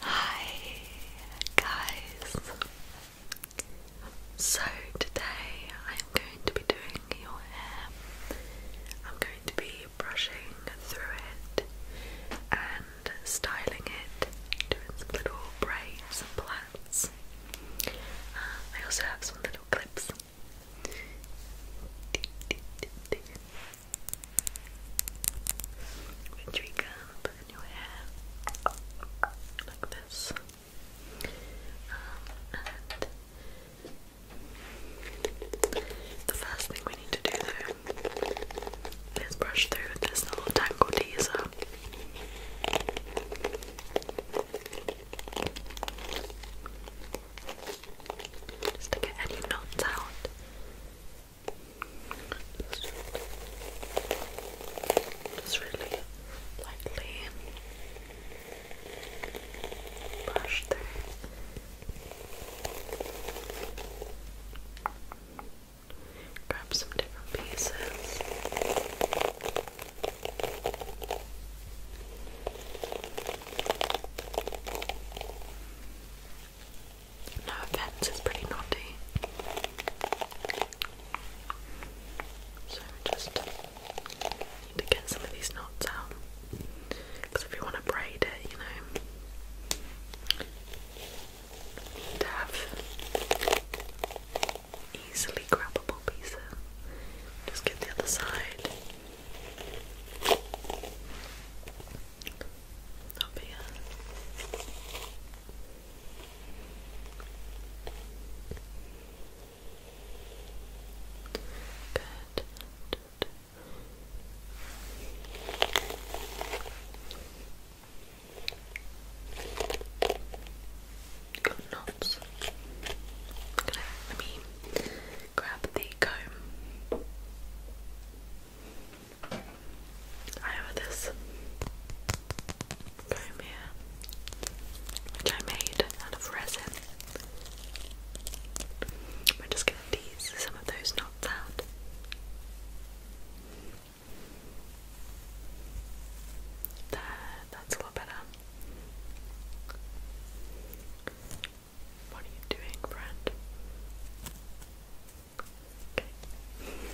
Hi guys! So today I'm going to be doing your hair. I'm going to be brushing through it and styling it, doing some little braids and plaits. Uh, I also have some little clips. With tree up in your hair like this. Um, the first thing we need to do though is brush through this little tangle teaser. Just to get any knots out. Just, really lightly brush through. Grab some different pieces. No offense, it's pretty naughty. So just need to get some of these knots out. Because if you want to braid it, you know, need to have easily grabbable pieces. Just get the other side up here. Good. knots. let me grab the comb. I have this comb here, which I made out of resin. We're just going to tease some of those knots out. There, that's a lot better. What are you doing, friend? Okay. Come on. Okay.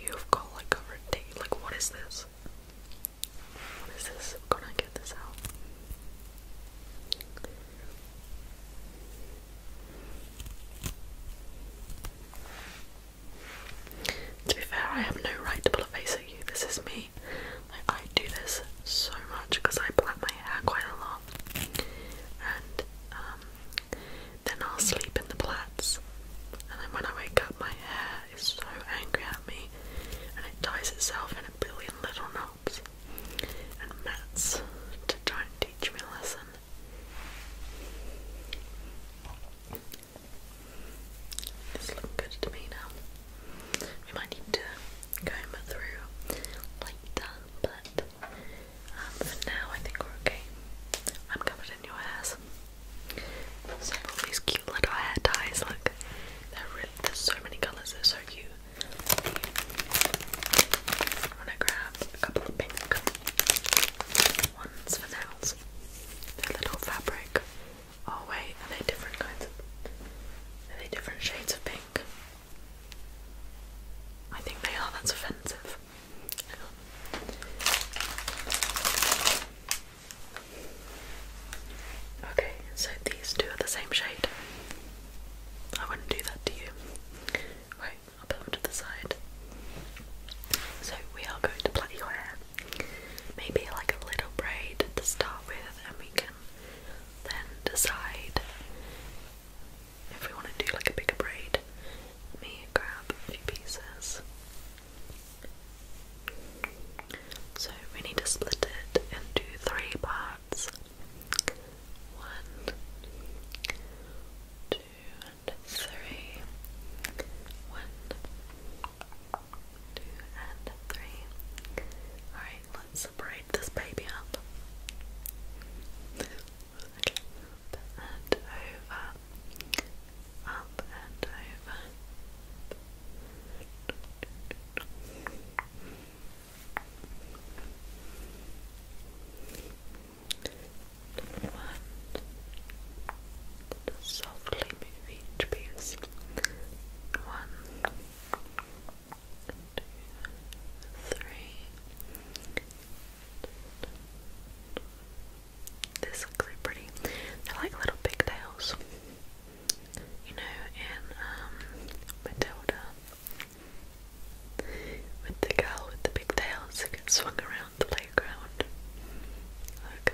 You've got like a ridiculous. Like, what is this? What is this? i gonna get this out. To be fair, I have no right to pull a face at you. This is me. Like, I do this so much because I black my hair quite a lot. And um, then I'll sleep in the plats, And then when I wake up, my hair is so angry at me and it ties itself in a billion little knots. And Matt's to try and teach me a lesson. It's looking good to me now. We might need to comb it through later, but um, for now, I think we're okay. I'm covered in your hairs. So all these cute little hair ties. Look, there's so many colours. They're so cute. i grab a couple of pink ones for nails. They're little fabric. Oh wait, are they different kinds? are they different shades of pink? I think they are. That's offensive. Okay, so these two are the same shade. I wouldn't do that to you. Right, I'll put them to the side. So we are going to plait your hair. Maybe like a little braid to start with, and we can then decide if we want to do like a bigger braid, let me grab a few pieces. So we need to split it into three parts. One, two, and three. One, two, and three. Alright, let's braid this baby up and over, up and over. One, softly move each piece. One, two, three, this looks pretty. They're like little pigtails. You know, in um, Matilda. With the girl with the pigtails who gets swung around the playground. Look.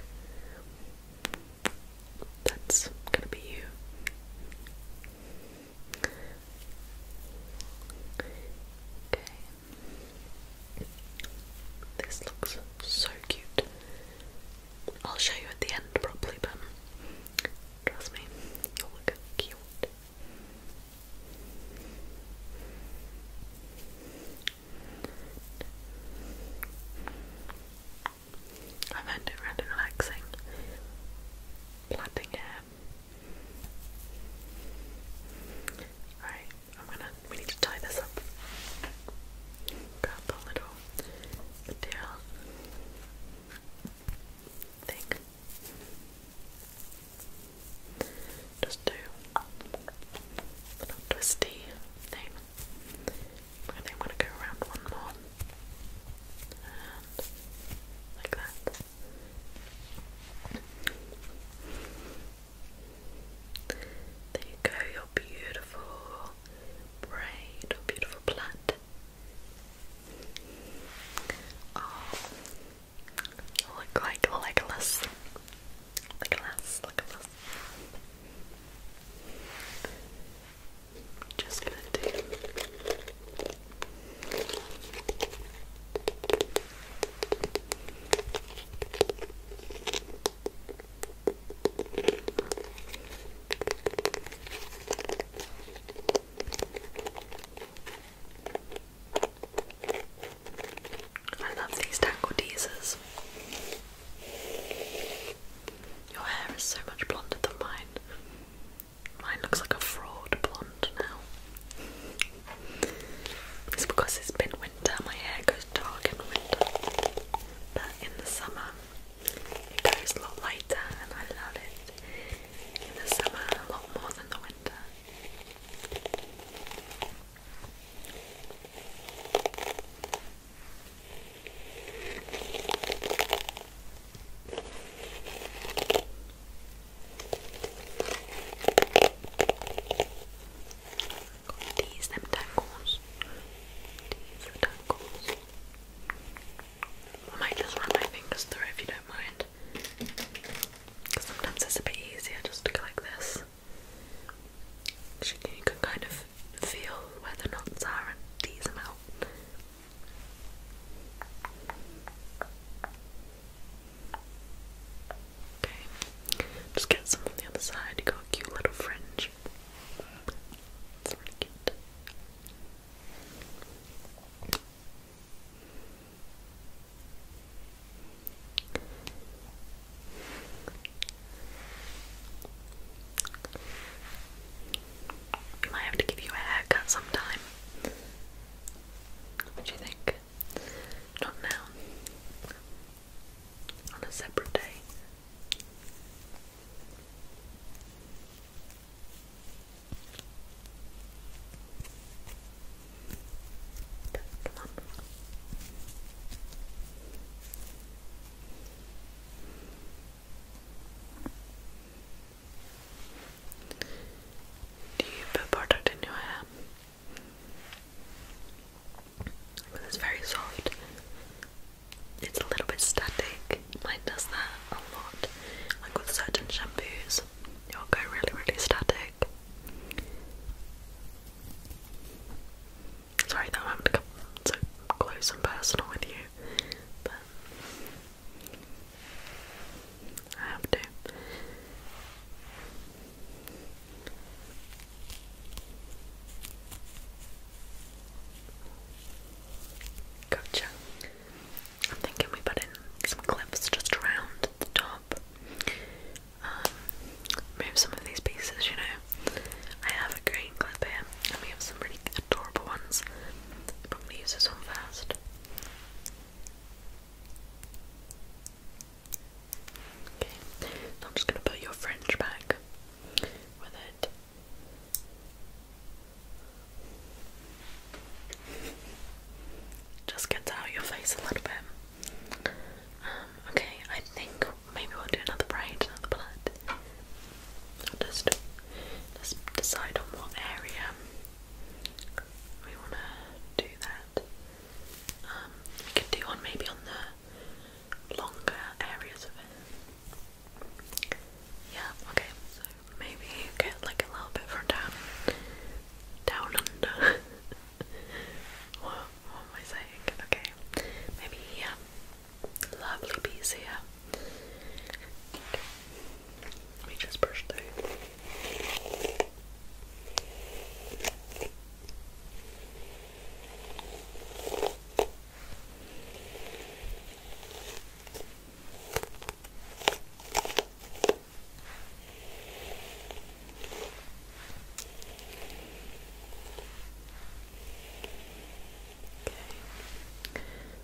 That's gonna be you. Okay, this looks so cute. I'll show you at the end properly, but trust me, you'll look cute. I find it really relaxing. Plaiting hair. Alright, I'm gonna we need to tie this up. Grab the little material thing. Just do a little twisty thing. I am gonna go around one more. And like that. There you go, your beautiful braid, your beautiful plait. Oh, look like Legolas. Legolas, Legolas. Just gonna do. I love these tangle teasers. Your hair is so much blonder than mine. Mine looks like a fraud blonde now. It's because it's been winter, my hair goes dark in winter, but in the summer it goes a lot lighter and I love it in the summer a lot more than the winter. These them tangles. These the tangles. I might just run my fingers through if you don't mind. sometimes it's a bit easier just like this. You can kind of feel where the knots are and tease them out. Okay, just get some on the other side. You got cute little fringe. It's really cute. I might have to give you a haircut sometime. What do you think? Not now. On a separate day. Do you put product in your hair? it's very soft. It's a little bit static. Mine does that a lot. Like with certain shampoos, it'll go really, really static. Sorry that I'm having so close and personal with you, I have to. Gotcha. I'm thinking we put in some clips just around the top. Um, move some of these pieces, you know. I have a green clip here, and we have some really adorable ones. Probably use this one first. Okay, I'm just going to put your fringe back with it. Just gets out your face a little bit. Um, okay, I think maybe we'll do another braid, another blood. i just decide on what area we wanna do that. Um, we could do one maybe on the longer areas of it. Yeah, okay, so maybe get like a little bit from down down under. what, am I saying? Okay, maybe here. Um, lovely piece here. Okay. Let me just brush through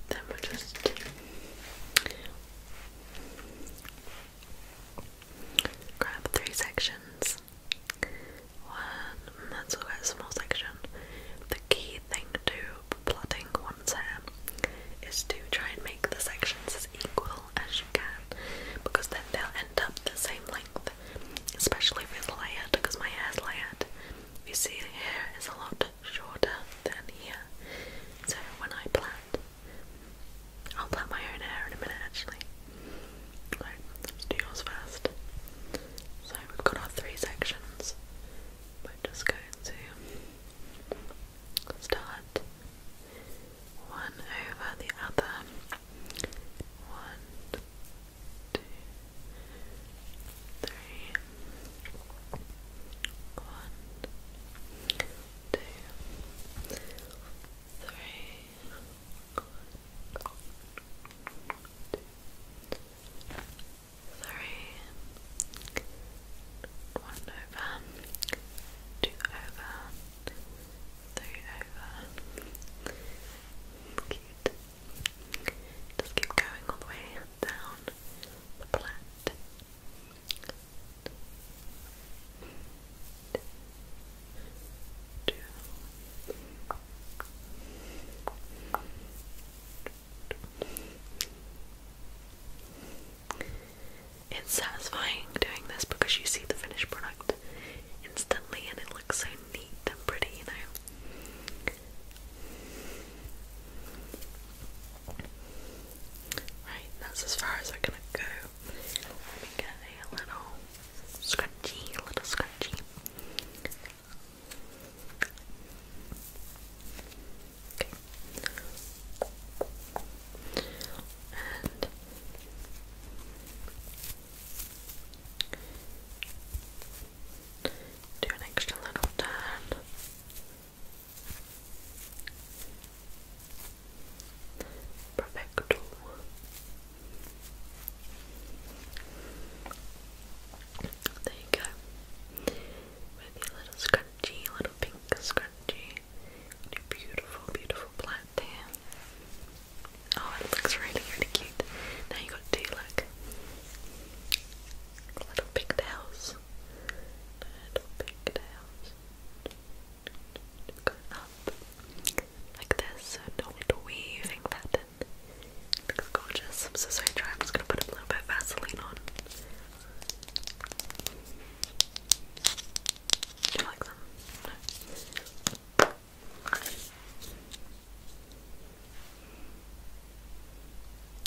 then we just Grab three sections. One, let's look small section. The key thing to plotting one's hair is to try and make the sections as equal as you can because then they'll end up the same length, especially with it's layered because my hair's layered. You see, here is a lot shorter than here, so when I plait, I'll plait my own hair in a minute actually. Right, do yours first. So we've got our three sections. We're just going to start one over the other. One, two, three. One, two, three, three, one over, two over, three over. Cute. Just keep going all the way down the plant. It's satisfying doing this because you see the finished product instantly and it looks so neat and pretty, you know. Right, that's as far as I'm gonna go let me get a little scratchy, a little scratchy. Okay. And do an extra little turn. Perfecto. There you go. your little scrunchie, little pink scrunchie. Your beautiful, beautiful plant there. Oh, it looks really, really cute. Now you got two, look. Little pigtails. Little pigtails like this, so no weaving pattern. looks gorgeous. I'm so sorry, dry. I'm just gonna put a little bit of Vaseline on. you like them?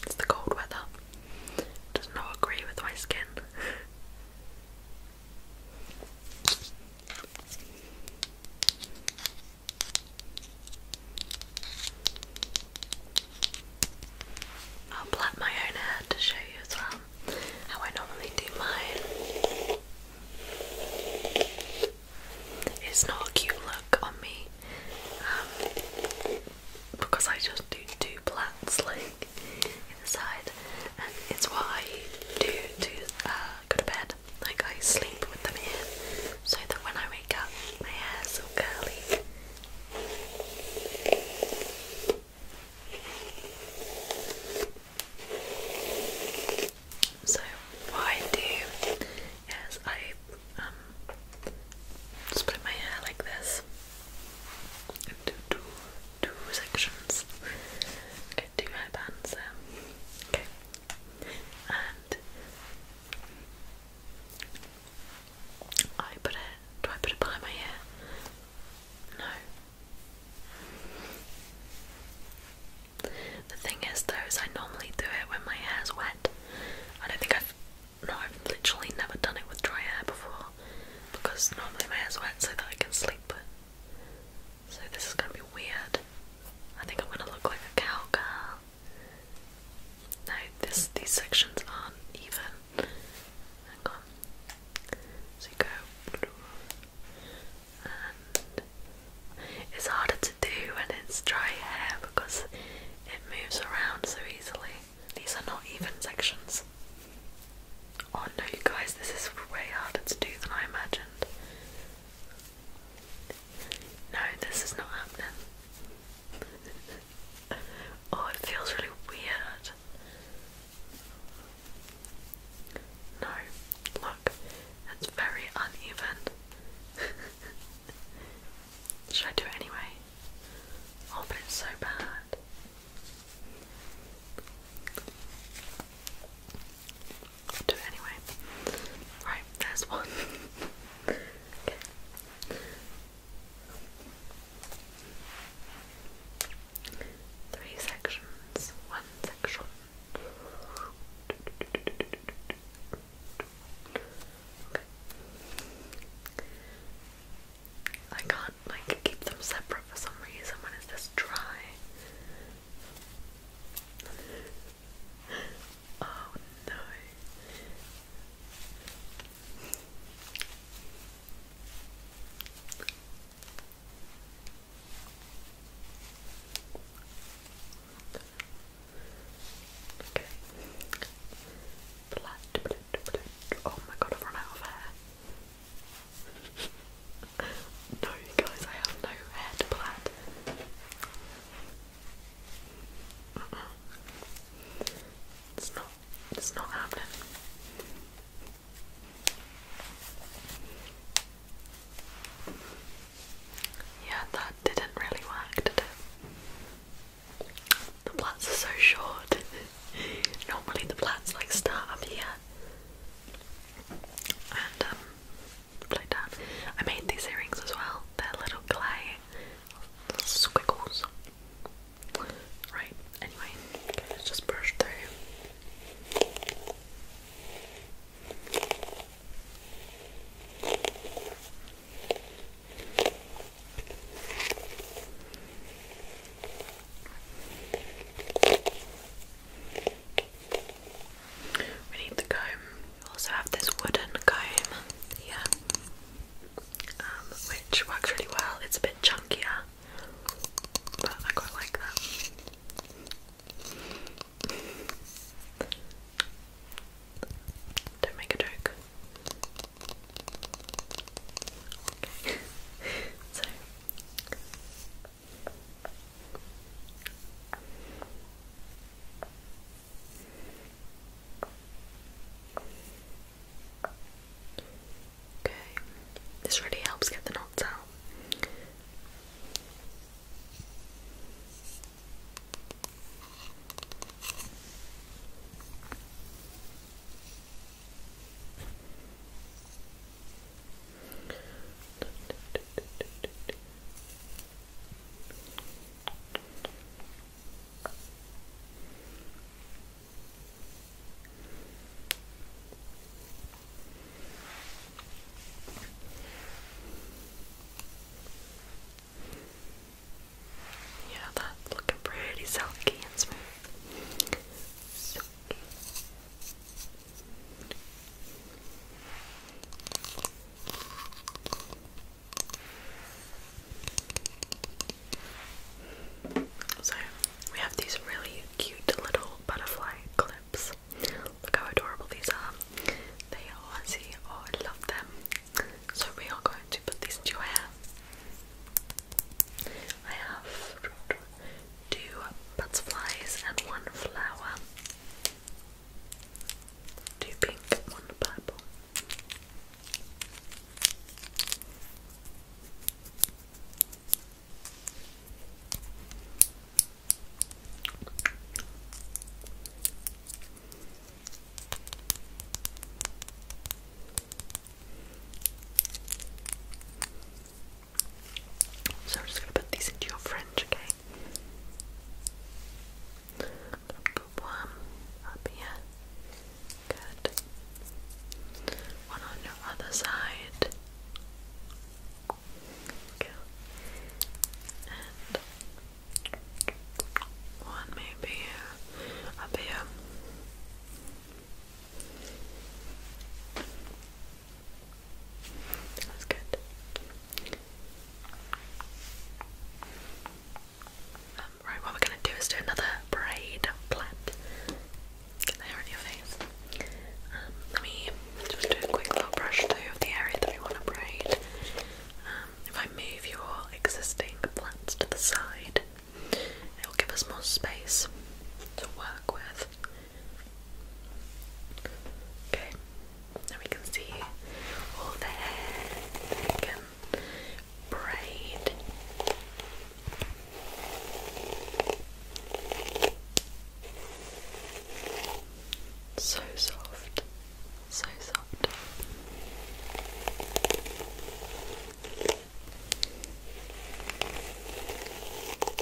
It's the cold weather. does not agree with my skin. I'll plait my own hair to show you as well how I normally do mine. It's not a cute look on me um, because I just do two plaits like in and it's what I do to uh, go to bed. Like I sleep with them in, so that when I wake up, my hair's all curly. So what I do is I just um, put my hair like this and do, do, two sections. Okay, two headbands Okay. And I put it do I put it behind my ear? No. The thing is though is I normally do it when my hair's wet. I don't think I've no, I've literally never done it with dry hair before because normally my hair's wet so that I can sleep, so this is gonna be weird. I think I'm gonna look like a cowgirl. No, this these sections aren't even. Hang on. So you go and it's harder to do when it's dry hair because it moves around so easily. These are not even sections. Oh no, you guys, this is way harder to do than I imagined. No, this is not happening. oh, it feels really weird. No, look, it's very uneven. Should I do it anyway? Oh, but it's so bad. Do it anyway. Right, there's one. Three sections, one section. I can't like keep them separate for some reason when it's this dry. Oh no. Okay. Oh my god, I've run out of hair. no, guys, I have no hair to plait. It's not. It's not happening. Yeah, that didn't really work, The plants are so short. Normally the plats like start up here and um play down. I made these earrings as well. They're little clay squiggles. Right, anyway, just brush through. We need the comb. We also have this wooden comb here, um, which works really well. It's a bit chunkier, but I quite like that. Don't make a joke. Okay. so Okay, this really helps get the knots out. Yeah, that's looking pretty silky and smooth. So we have these really cute little butterfly clips. Look how adorable these are. They are see, oh I love them. So we are going to put these into your hair. I have two butterflies and one flower. Two pink, one purple. So I'm just gonna put these into your fringe, okay? one up here. Good. One on your other side. And one maybe up here. That good. Um, right, what we're gonna do is do another braid plait. Get the hair in your face. Um, let me just do a quick little brush through of the area that we want to braid. Um, if I move your existing plants to the side, it will give us more space to work with. Okay, now we can see all the hair that we So soft, so soft.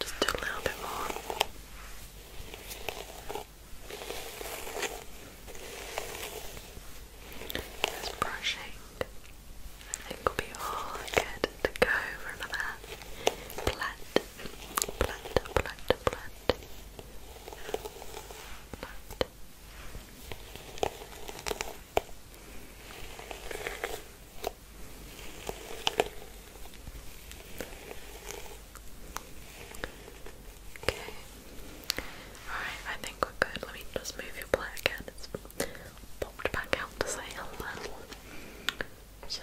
Just do a little bit more. This brushing, I think, will be all good to go for another plat, plat, plat, plat, Okay. Alright, I think we're good. Let me just move your plate again. It's popped back out to say hello. So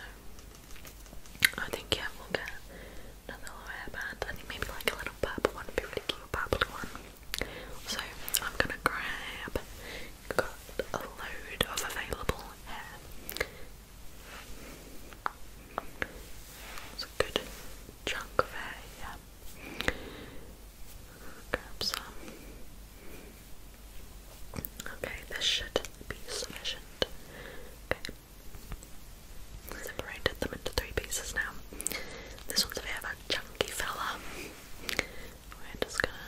I think yeah, we'll get another hairband. I think maybe like a little purple one be really cute, purple one. So I'm gonna grab got a load of available hair. It's a good chunk of hair, yeah. Grab some. Okay, this should be sufficient. Okay separated them into three pieces now. This one's a bit of a chunky fella. We're just gonna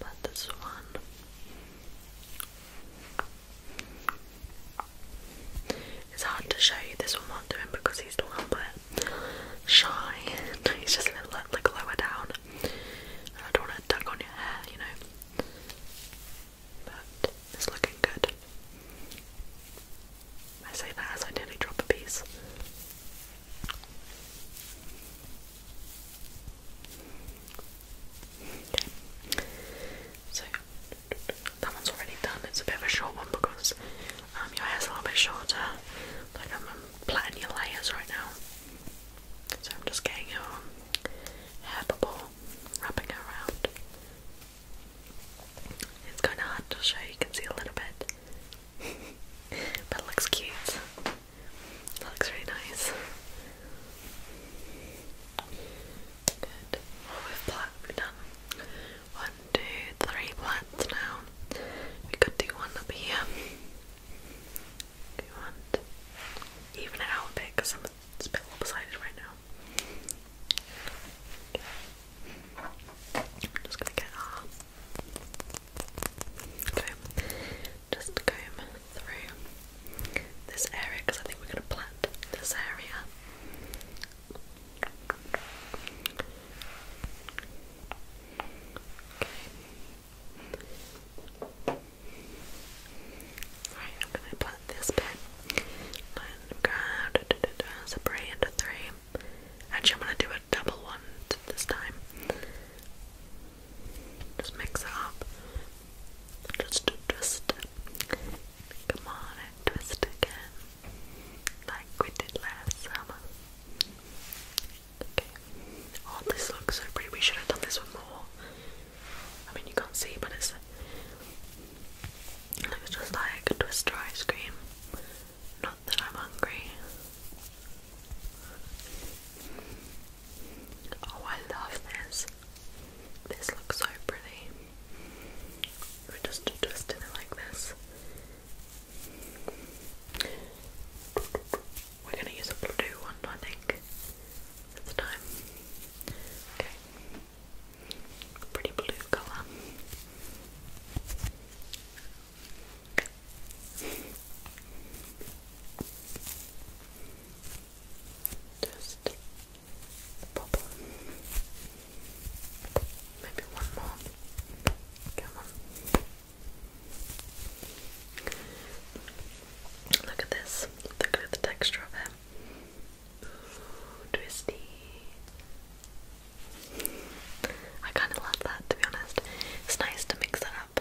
put this one. It's hard to show you this one while I'm because he's a little bit shy. he's just a little like lower down. I don't want to tug on your hair, you know but it's looking good. I say that as I nearly drop a piece. So that one's already done. It's a bit of a short one because um, your hair's a little bit shorter. Like I'm plaiting your layers right now. So I'm just getting your hair bubble, wrapping around it's kind of hard to show, you can see a little bit. but it looks cute. looks really nice. Good. Well, we've, we've done one, two, three plants now. We could do one up here. Do you want? Even it out because I'm a bit lopsided right now. I'm just gonna get our comb, just comb through this area because I think we're gonna plant this area. Alright, I'm gonna put this bit and grab separate into three. Actually, I'm gonna do a double one this time. Just mix it up. Just twist Come on twist again. Like we did last summer. Okay. Oh, this looks so pretty. We should have done this one more. I mean, you can't see, but it's looks just like Twister ice cream. Not that I'm hungry. Oh, I love this. This looks so pretty. We're just twisting it like this. We're gonna use a blue one, I think, this time. Okay. Pretty blue colour. Just pop Maybe one more. Come on. Look at this. Look at the texture of it. Ooh, twisty. I kind of love that, to be honest. It's nice to mix that up.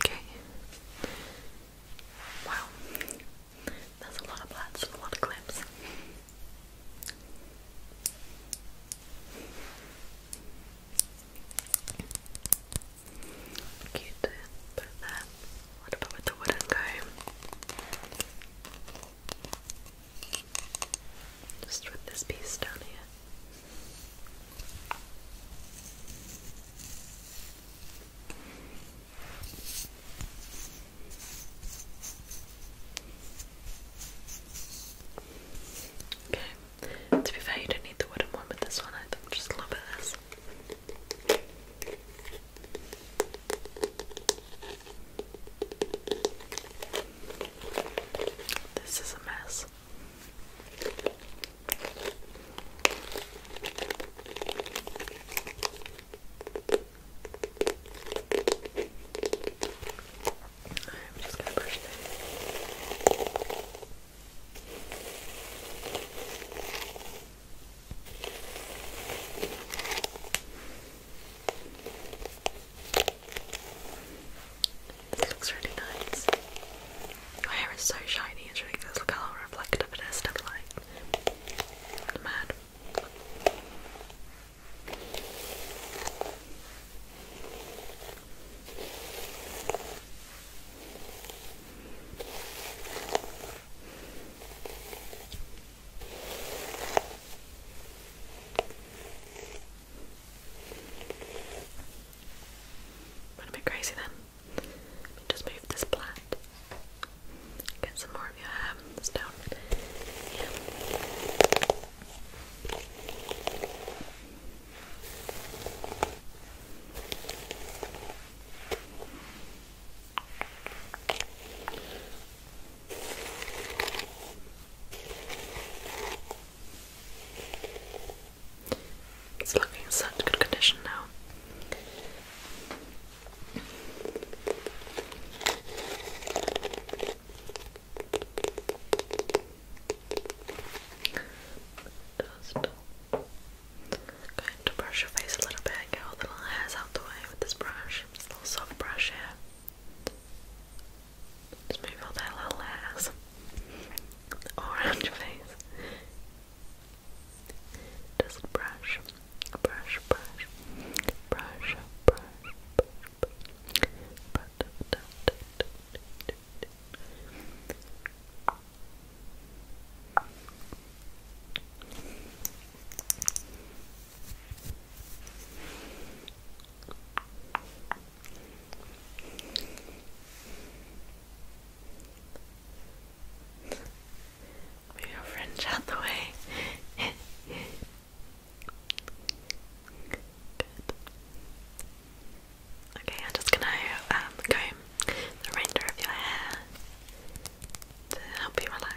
Okay. Wow. That's a lot of plats a lot of clips. Cute. Put What about with the wooden comb? Just with this piece down here. Okay. To be fair, you don't need the wooden one with this one, I think. Just a little bit of this. This is a mess. I'm just going to brush through. This looks really nice. Your hair is so shiny, it's ridiculous. Look how reflective it is to light. Mad. I'm gonna be crazy then. just move this plat. Get some more of your hair down. It's looking in such good condition now. Just going to brush your face a little bit, get all the little hairs out the way with this brush. This little soft brush here. Just move all their little hairs all around your face. Just brush, brush, brush, brush, brush, brush, brush. brush. Move your fringe out the way. Okay, I'm just gonna um, the remainder of your hair to help you relax.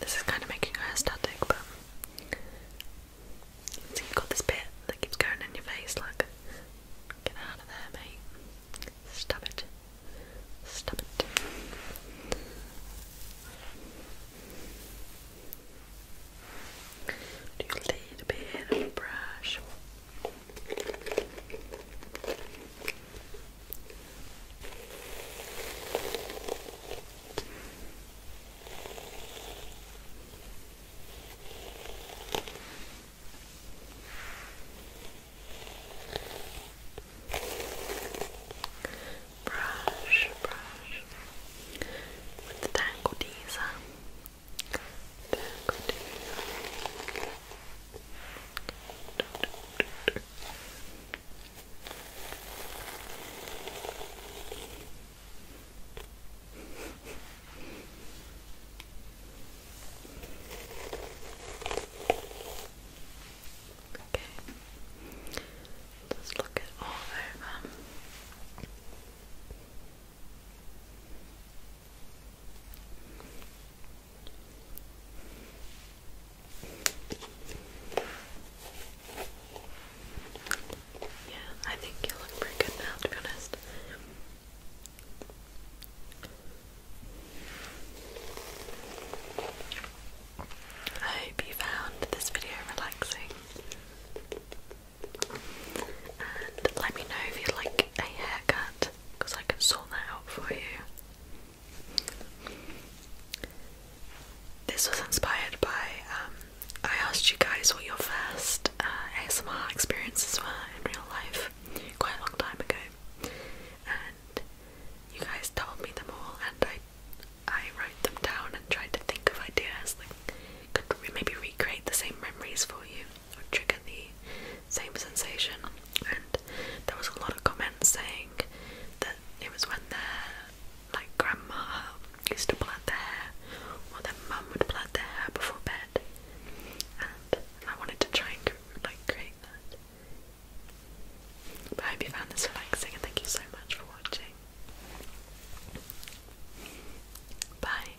This is kind of making her static, but you've got this bit that keeps going in your face, like get out of there, mate. Stop it. Stop it. Do you need bit of a brush? Brush, brush with the tangle teaser then continue. Okay. Let's look it all over. Yeah, I think you look pretty good now, to be honest. I hope you found this video relaxing. And let me know if you'd like a haircut because I can sort that out for you. This was inspired by, um, I asked you guys what your first uh, ASMR experiences were in real life quite a long time ago, and you guys told me them all, and I I wrote them down and tried to think of ideas that could maybe recreate the same memories for you trigger the same sensation. And there was a lot of comments saying that it was when their like grandma used to plait the hair, or their mum would plait the hair before bed. And I wanted to try and like create that. But I hope you found this relaxing, and thank you so much for watching. Bye.